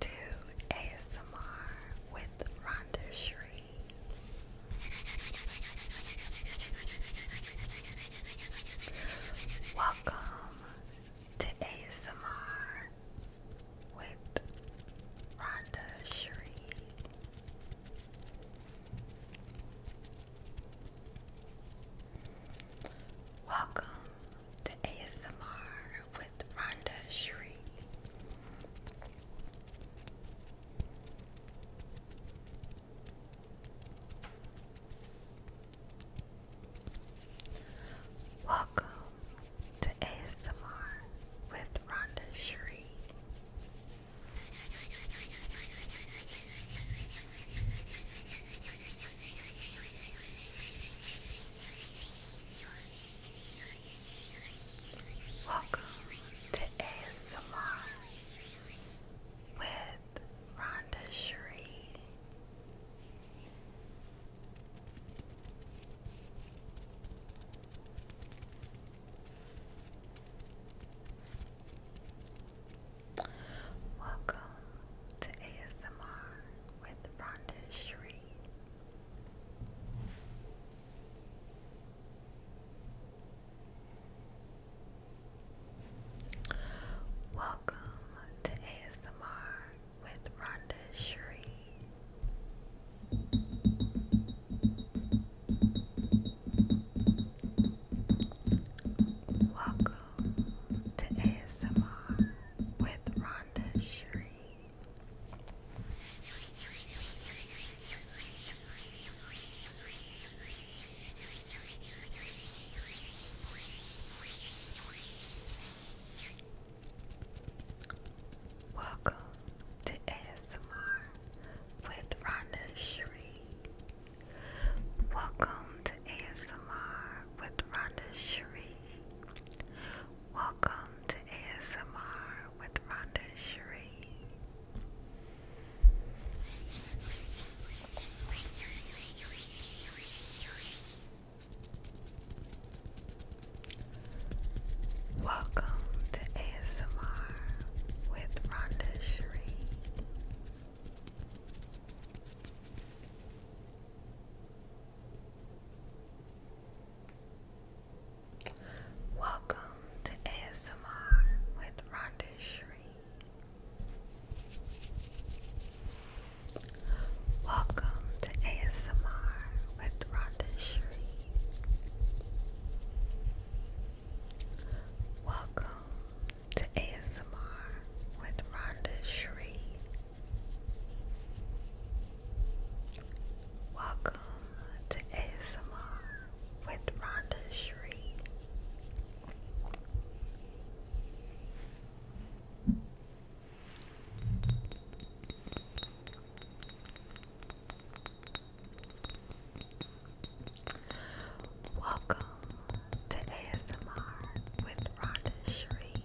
to ASMR with Rhonda Shree. Welcome to ASMR with Rhonda Shree. Welcome to ASMR with Rhonda Shree. Welcome to ASMR with Rhonda Shree. Welcome to ASMR with Rhonda Sheree. Welcome to ASMR with Rhonda Shree. Welcome to ASMR with Rhonda Shree. Welcome Welcome to ASMR with Rhonda Sheree. Welcome to ASMR with Rhonda Sheree. Welcome to ASMR with Rhonda Sheree. Welcome to ASMR with Rhonda Sheree. Welcome to ASMR with Rhonda Sheree. Welcome to ASMR with Rhonda Shree. Welcome to ASMR with Rhonda Shree. Welcome to ASMR with Rhonda Shree. Welcome to ASMR with Rhonda Shree. Welcome to ASMR with Rhonda Sheree.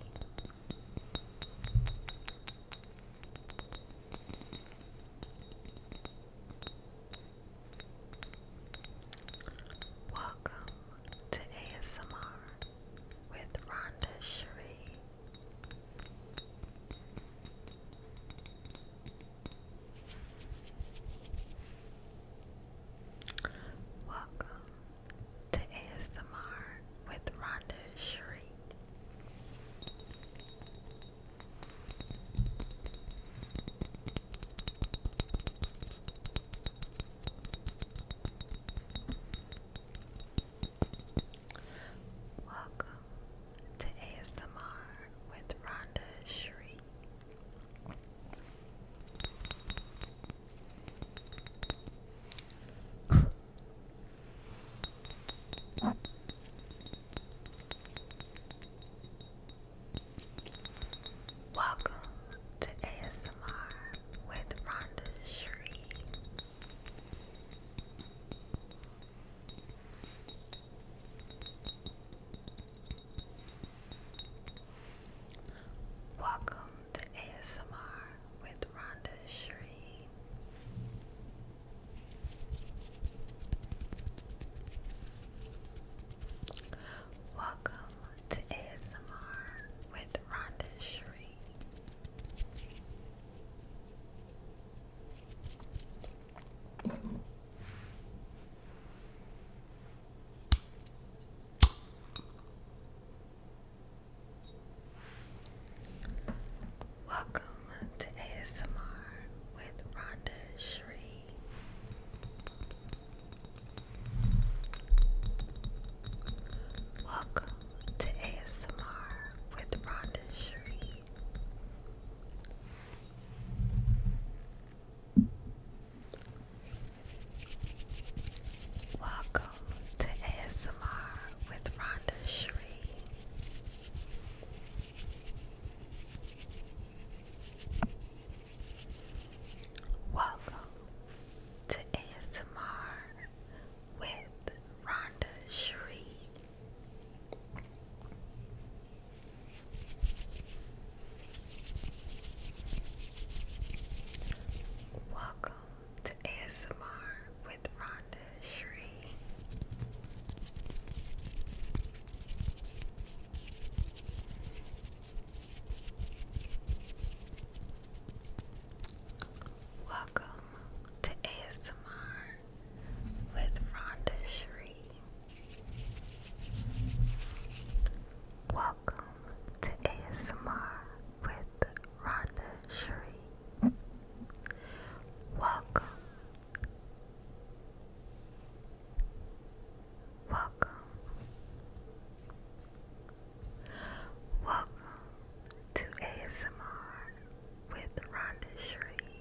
Welcome to ASMR with Rhonda Sheree. Welcome to ASMR with Rhonda Sheree. Welcome to ASMR with Rhonda Sheree. Welcome to ASMR with Rhonda Shree. Welcome to ASMR with Rhonda Shree. Welcome to ASMR with Rhonda Shree. Welcome to ASMR with Rhonda Shree. Welcome to ASMR with Rhonda Shree. Welcome to ASMR with Rhonda Shree. Welcome to ASMR with Rhonda Shree. Welcome to ASMR with Rhonda Shree. Welcome to ASMR with Rhonda Shree. Welcome to ASMR with Rhonda Sheree. Welcome. Welcome. Welcome to ASMR with Rhonda Shree.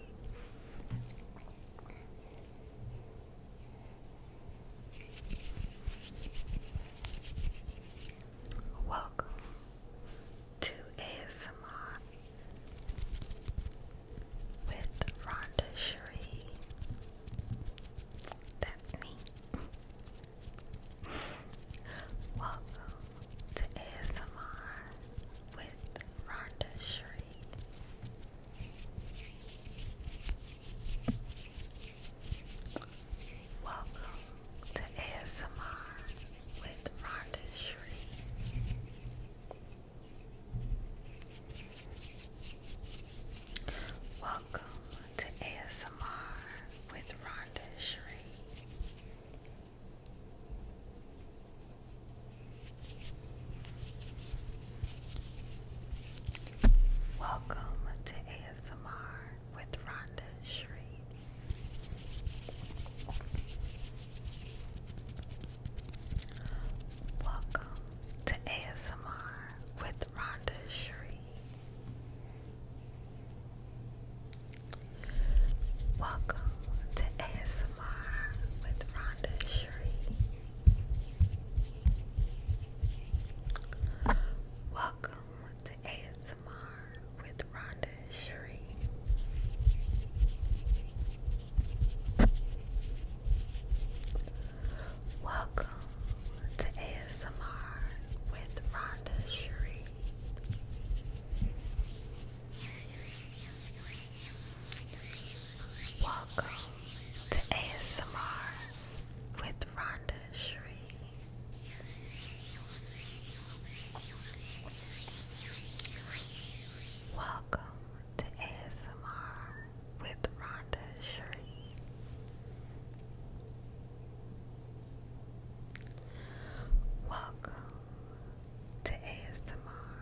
Welcome to ASMR with Rhonda Shree. That's me. Welcome to ASMR with Rhonda Shree. Welcome to ASMR with Rhonda Shree. Welcome to ASMR with Rhonda Shree. Welcome to ASMR with Rhonda Shree. Welcome to ASMR with Rhonda Shree. Welcome to ASMR with Rhonda Sheree. Welcome to ASMR with Rhonda Sheree. Welcome to ASMR with Rhonda Sheree. Welcome to ASMR with Rhonda Shree. Welcome to ASMR with Rhonda Shree. Welcome to ASMR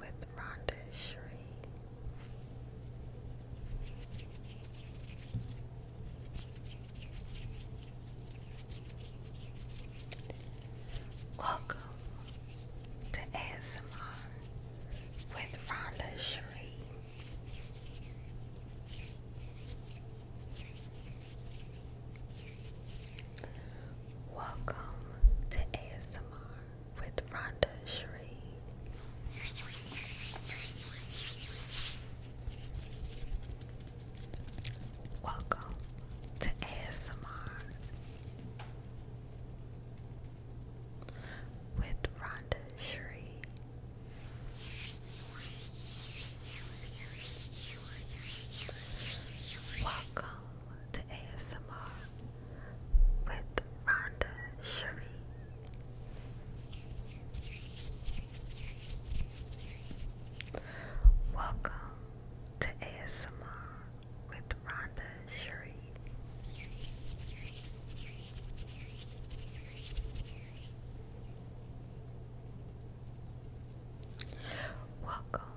with Rhonda Shree. Welcome to ASMR with Rhonda Sheree. Welcome to ASMR with Rhonda Sheree. Welcome to ASMR with Rhonda Sheree. Welcome to ASMR with Rhonda Sherry. Welcome to ASMR with Rhonda Cherie. Welcome